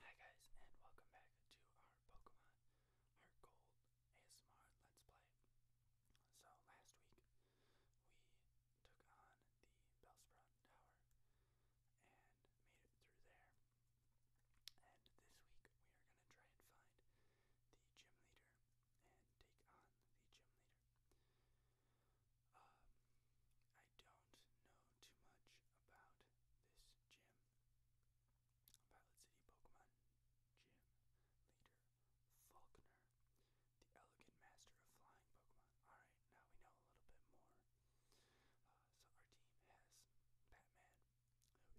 Hi guys, and welcome back to our Pokemon Heart ASMR Let's Play. So last week we took on the Bellsprout Tower and made it through there. And this week we are gonna try and find the gym leader and take on the gym leader. Um, I don't know too much about this gym. Violet City Pokemon Gym Leader Faulkner, the elegant master of flying Pokemon. Alright, now we know a little bit more. Uh, so our team has Batman, who is flying poison.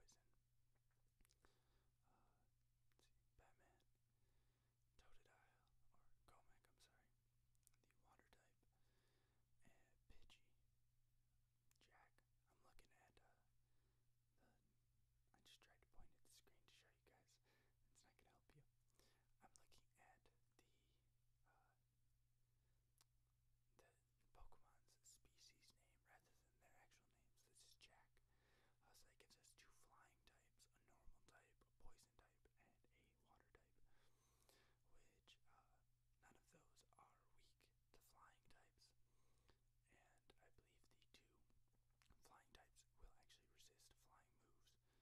Uh, let's see, Batman Totodile, or Comac, I'm sorry, the water type, and Pidgey, Jack. I'm looking at uh, the. I just tried to point at the screen to show you guys. It's not gonna help you. I'm looking at the uh, the Pokemon's species name rather than their actual names. This is Jack. Uh, so that gives us two flying types, a normal type, a poison poison type and a water type, which uh, none of those are weak to flying types. And I believe the two flying types will actually resist flying moves. So uh,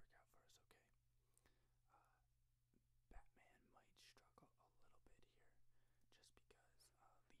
that could work out for us okay. Uh, Batman might struggle a little bit here just because uh, Leech Life isn't that powerful and it is resisted by flying type.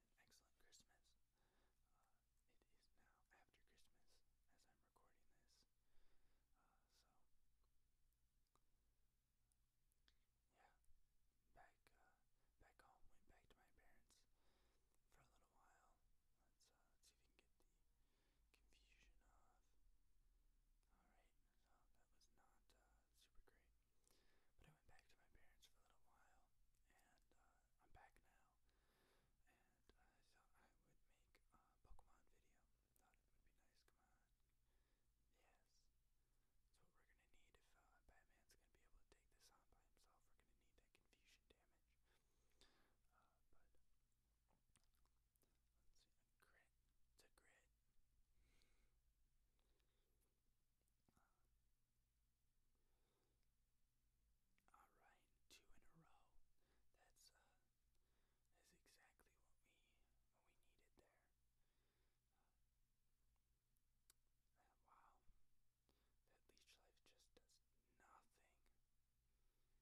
an excellent Christmas. Uh, it is now after Christmas as I'm recording this. Uh, so, yeah, back uh, back home. Went back to my parents for a little while. Let's, uh, let's see if we can get the confusion off. All right, so that was not uh, super great. But I went back to my parents for a little while, and uh, I'm back now. And uh, I thought I would make a Pokemon video. Thought it would be nice. Come on, yes. That's we're gonna need if uh, Batman's gonna be able to take this on by himself. We're gonna need that confusion damage. but let's grit. It's grit all right, two in a row. That's uh, that's exactly what we what we needed there. Uh, uh, wow, that leech life just does nothing, nothing at all. We're probably getting the minimum one damage.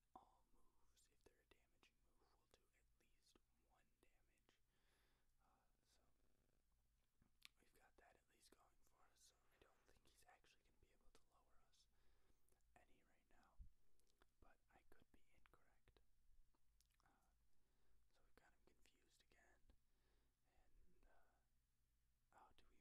all moves, if they're a damaging move, will do at least one damage. Uh, so we've got that at least going for us. So I don't think he's actually going to be able to lower us any right now, but I could be incorrect. Uh, so we've got him confused again, and uh, oh, do we miss? I think we missed the supersonic.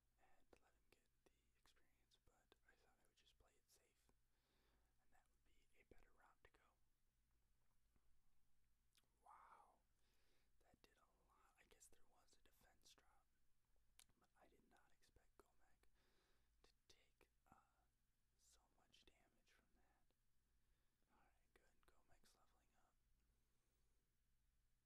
and let him get the experience, but I thought I would just play it safe, and that would be a better route to go. Wow, that did a lot. I guess there was a defense drop, but I did not expect Gomek to take uh, so much damage from that. Alright, good. Gomek's leveling up.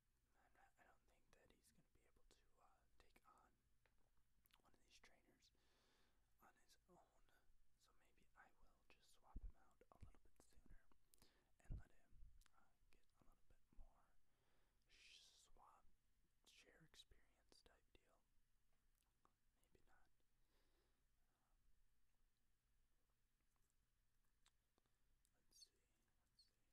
I'm not, I don't think that he's going to be able to uh, take on one of these trainers on his own. So maybe I will just swap him out a little bit sooner and let him uh, get a little bit more sh swap share experience type deal. Maybe not. Um, let's see. Let's see.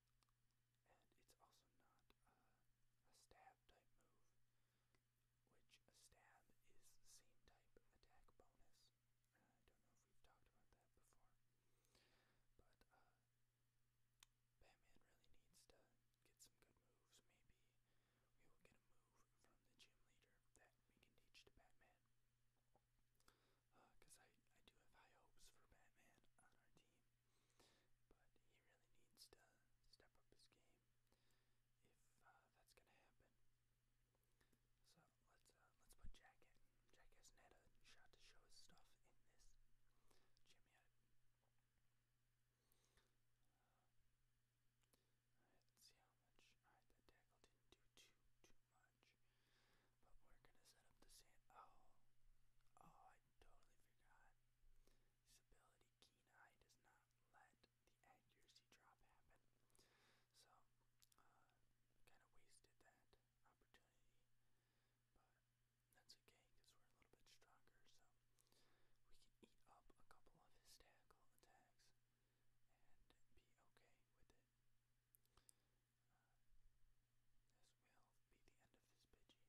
and it's also not uh, a stab type move, which a stab is the same type attack bonus. Uh, I don't know if we've talked about that before, but uh, Batman really needs to get some good moves. Maybe we will get a move from the gym leader that we can teach to Batman. Because uh, I, I do have high hopes for Batman on our team. But he really needs to step up his game if uh, that's gonna happen. So let's uh, let's put Jack in. Jack hasn't a shot to show his stuff in this gym yet. Uh, see how much. Alright, that tackle didn't do too too much. But we're gonna set up the sand. Oh, oh, totally forgot. This ability, Keen Eye, does not let the accuracy drop happen. So, uh, kind of wasted that opportunity. But that's okay, because we're a little bit stronger, so we can eat up a couple of hysterical attacks and be okay with it. Uh, this will be the end of this Pidgey.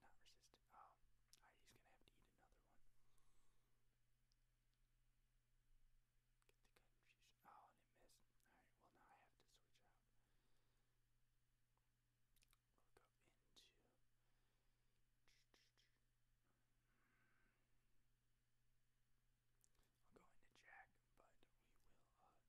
No, it's not resistant. Oh, right, ah, he's gonna have to eat another one. Get the confusion. Oh, and it missed. Alright, well, now I have to switch out. We'll go into. I'll go into Jack, but we will uh,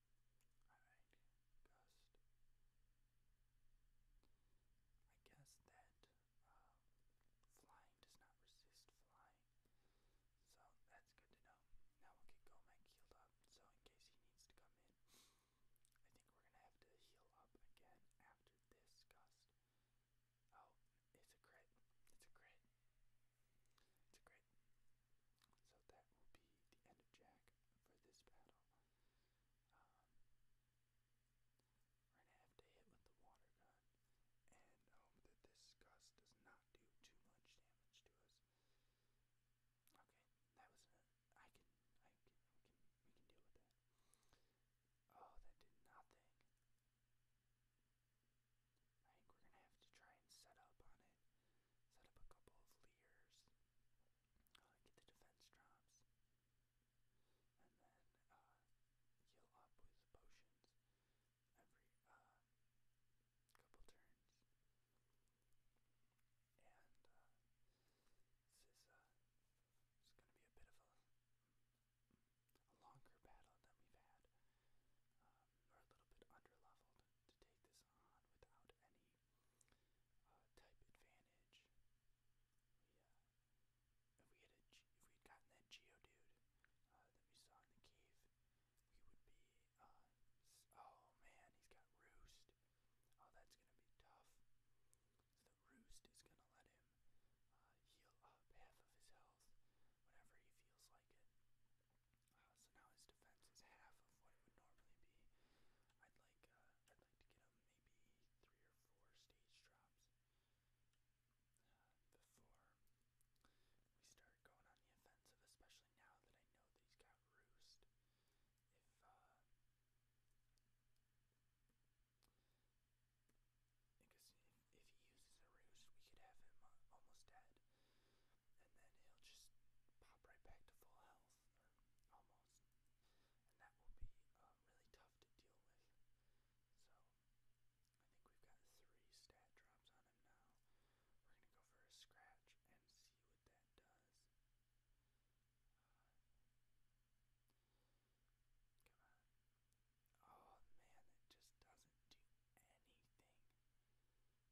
Alright, gust. I guess that flying does not resist flying. So that's good to know. Now we'll get Gomek healed up, so in case he needs to come in, I think we're gonna have to heal up again after this gust. Oh, it's a crit. It's a crit. It's a crit. So that will be the end of Jack for this battle we're gonna have to hit with the water gun and hope um, that this gust does not do too much damage to us. Okay, that was I can, I can, we can, we can deal with that. Oh, that did nothing. I think we're gonna have to try and set up on it. Set up a couple of leers get the defense drops, and then uh, heal up with potions every uh, couple turns. And uh, this is it's going to be a bit of a, longer battle than we've had. Um, we're a little bit under leveled to take this on without any uh, type advantage. We, uh, if we had a, if we had gotten that Geodude uh, that we saw in the cave, we would be. Uh, oh man, he's got Roost. Oh, that's gonna be tough. So the Roost is gonna let him uh, heal up half of his health whenever he feels like it. Uh, so now his defense is half of what it would normally be. I'd like uh, I'd like to get him maybe three or four stage drops uh, before we start going on the offensive, especially now that I know that he's got roost. If because if, he uses a roost, we could have him almost dead and then he'll just pop right back to full health, almost. And that will be uh, really tough to deal with. So, I think we've got three stat drops on him now. We're going to go for a scratch and see what that does. Uh, come on. Oh man, it just doesn't do anything.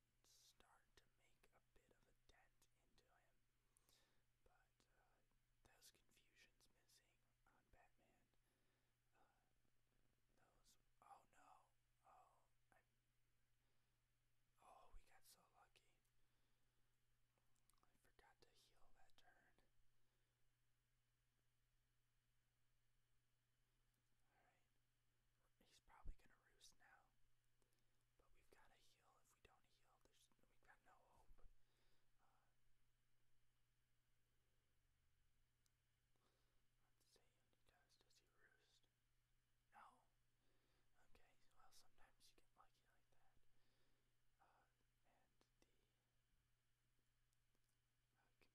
start to make a bit of a dent into him. But uh, those confusions missing on Batman. Uh, those. Oh no! Oh, Oh, we got so lucky. I forgot to heal that turn. He's probably gonna roost now. But we've gotta heal. If we don't heal, we've got no hope. Uh, let's see what he does. he roost? No. Okay, well sometimes you get lucky like that. Uh, and the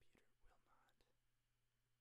uh, computer will not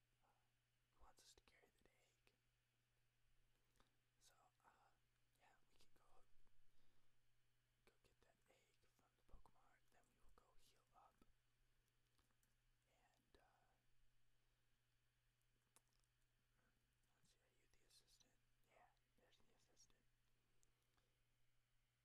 uh, wants us to carry the egg. So, uh, yeah, we can go go get that egg from the Pokemon, then we will go heal up. And, uh, you the assistant? Yeah, there's the assistant.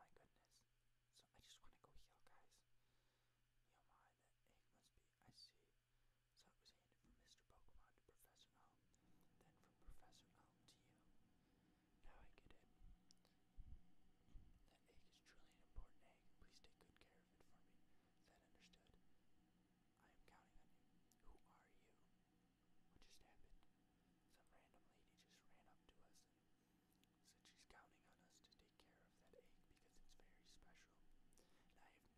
Oh my goodness. So I just want to go heal, guys. Yomi, that egg must be. I see. So it was handed from Mr. Pokemon to Professor Elm, then from Professor Elm to you. Now I get it. That egg is truly an important egg. Please take good care of it for me. that understood? I am counting on you. Who are you? What just happened? Some random lady just ran up to us and said she's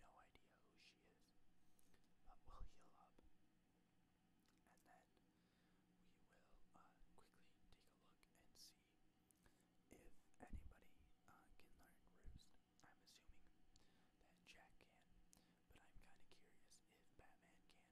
counting on us to take care of that egg because it's very special. And I have no idea who she is. But we'll heal up. And then we will uh, quickly take a look and see if anybody uh, can learn Roost. I'm assuming that Jack can, but I'm kind of curious if Batman can